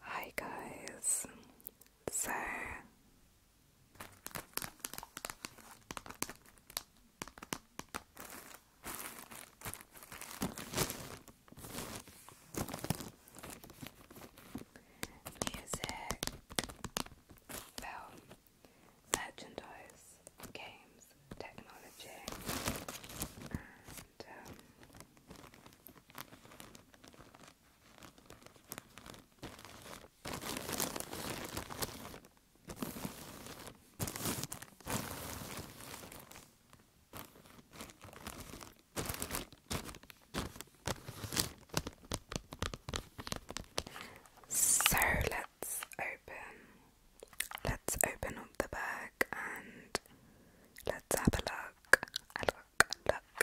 Hi guys. So music, film, merchandise, games, technology, and um, so let's open let's open up the bag and let's have a look. look, look.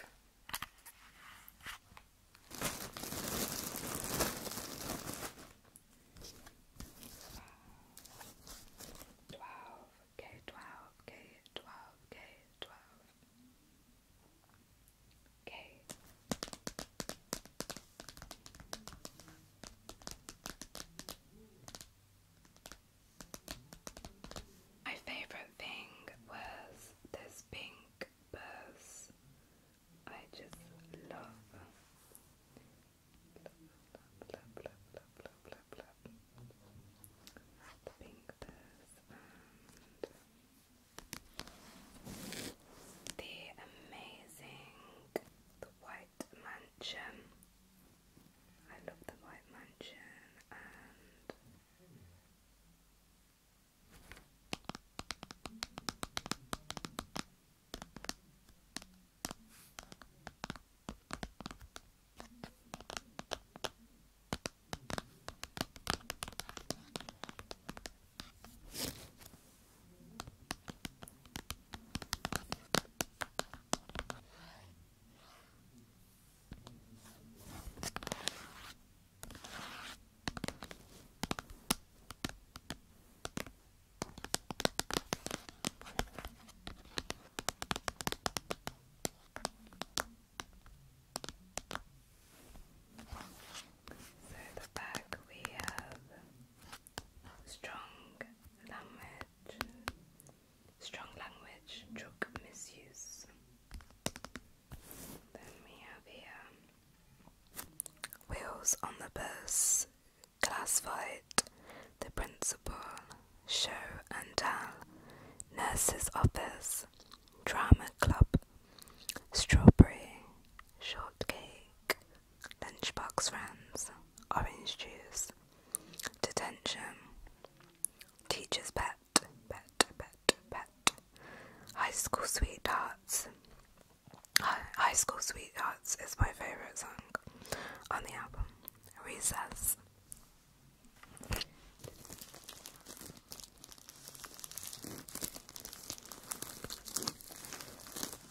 Twelve K twelve K twelve K twelve K my favorite thing was this pink purse. I just love. love, love, love, love, love, love, love. The pink purse and the amazing the white White Mansion. I love the White Mansion and so the back we have strong language, strong language, drug misuse. Then we have here wheels on the bus, Classified. the principal, show and tell, nurse's office, drama club, strawberry, shortcake, Lunchbox Friends, Orange Juice, Detention, Teacher's Pet, Pet, Pet, Pet, High School Sweethearts. High School Sweethearts is my favourite song on the album. Recess.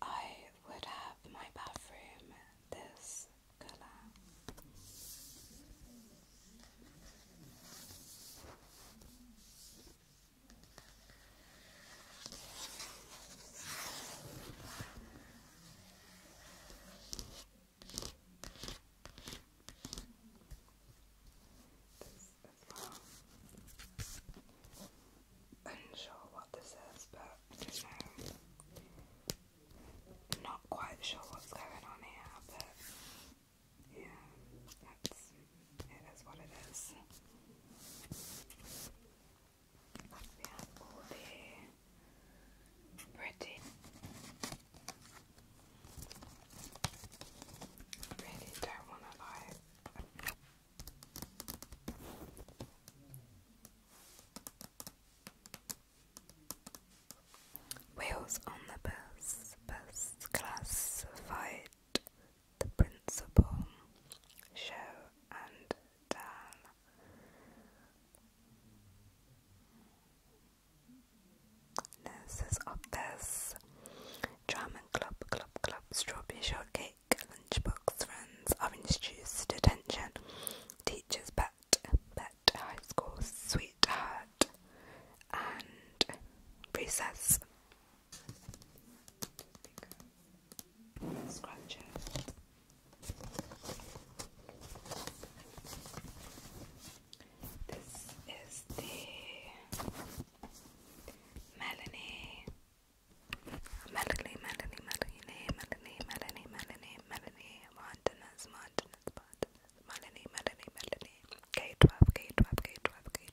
I would have my bathroom this color well. Unsure what this is, but you um, not quite sure what's going on here, but yeah, that's it is what it is. We have all the pretty really don't wanna lie. Wheels on the bus, bus classified the principal, show and tell. Nurses office, drum and club, club, club, strawberry shortcake, lunchbox, friends, orange juice, detention, teacher's pet, pet, high school, sweetheart. Bird and Princess. This is the Melanie. Melanie, Melanie, Melanie, Melanie, Melanie, Melanie, Melanie, Martinez, Melanie, Melanie, Melanie, K12, K12, K12, K12.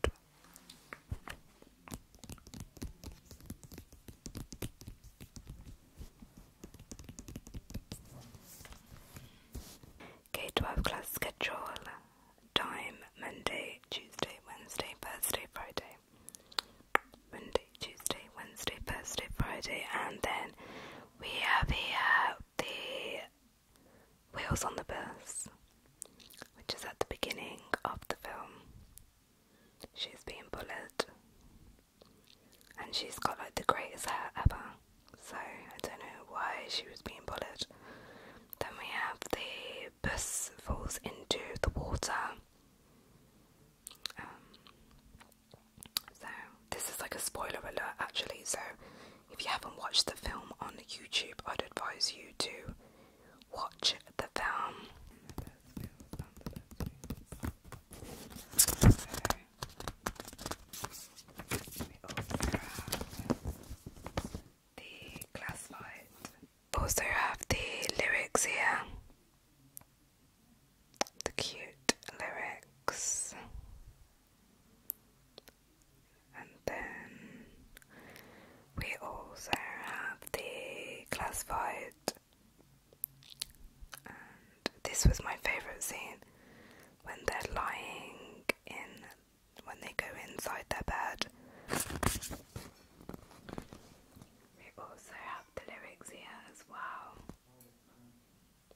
K12 class schedule time Monday, Tuesday, Wednesday, Thursday, Friday. Monday, Tuesday, Wednesday, Thursday, Friday, and then we have here the Wheels on the Bus, which is at the beginning of the film. She's being bullied, and she's got like the greatest hair ever. So I don't know why she was being bullied. Then we have the bus falls into the water. Um, so this is like a spoiler alert actually, so if you haven't watched the film on YouTube, I'd advise you to watch the film. also have the Also have the lyrics here. The cute lyrics. And then we also have the classified, and this was my favourite scene when they're lying in, when they go inside their bed. We also have the lyrics here as well.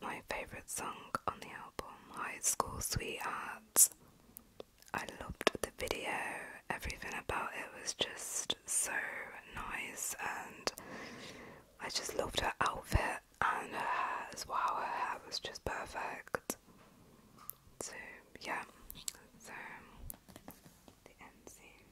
My favorite song on the album, High School Sweethearts, I loved the video, everything about it was just so nice, and I just loved her outfit and her hair as well. Her hair was just perfect. So, yeah, so the end scene.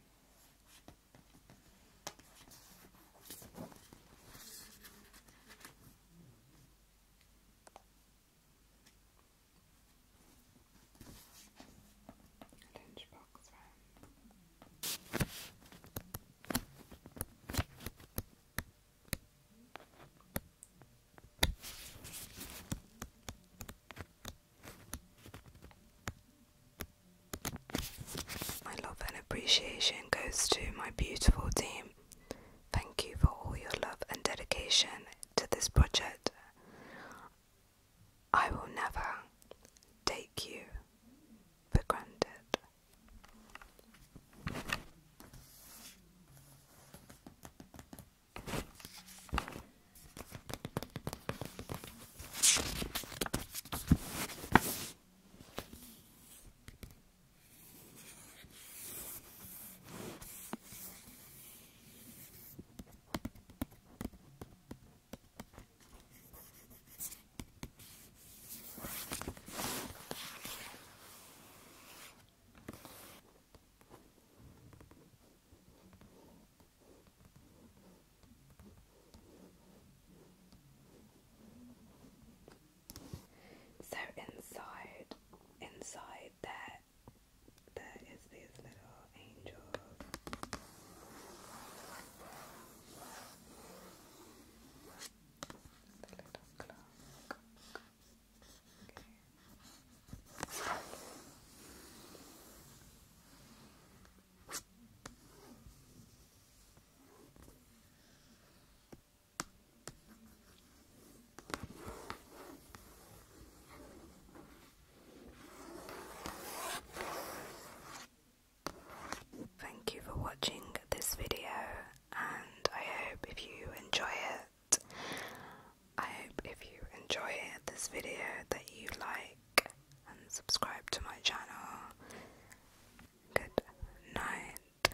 My love and appreciation goes to my beautiful team. Thank you for all your love and dedication to this project I will never take you for granted. So inside, inside there but there is these little angels. The little clock. Thank you for watching this video, and I hope if you enjoy it, I hope if you enjoy this video that you like and subscribe to my channel. Good night.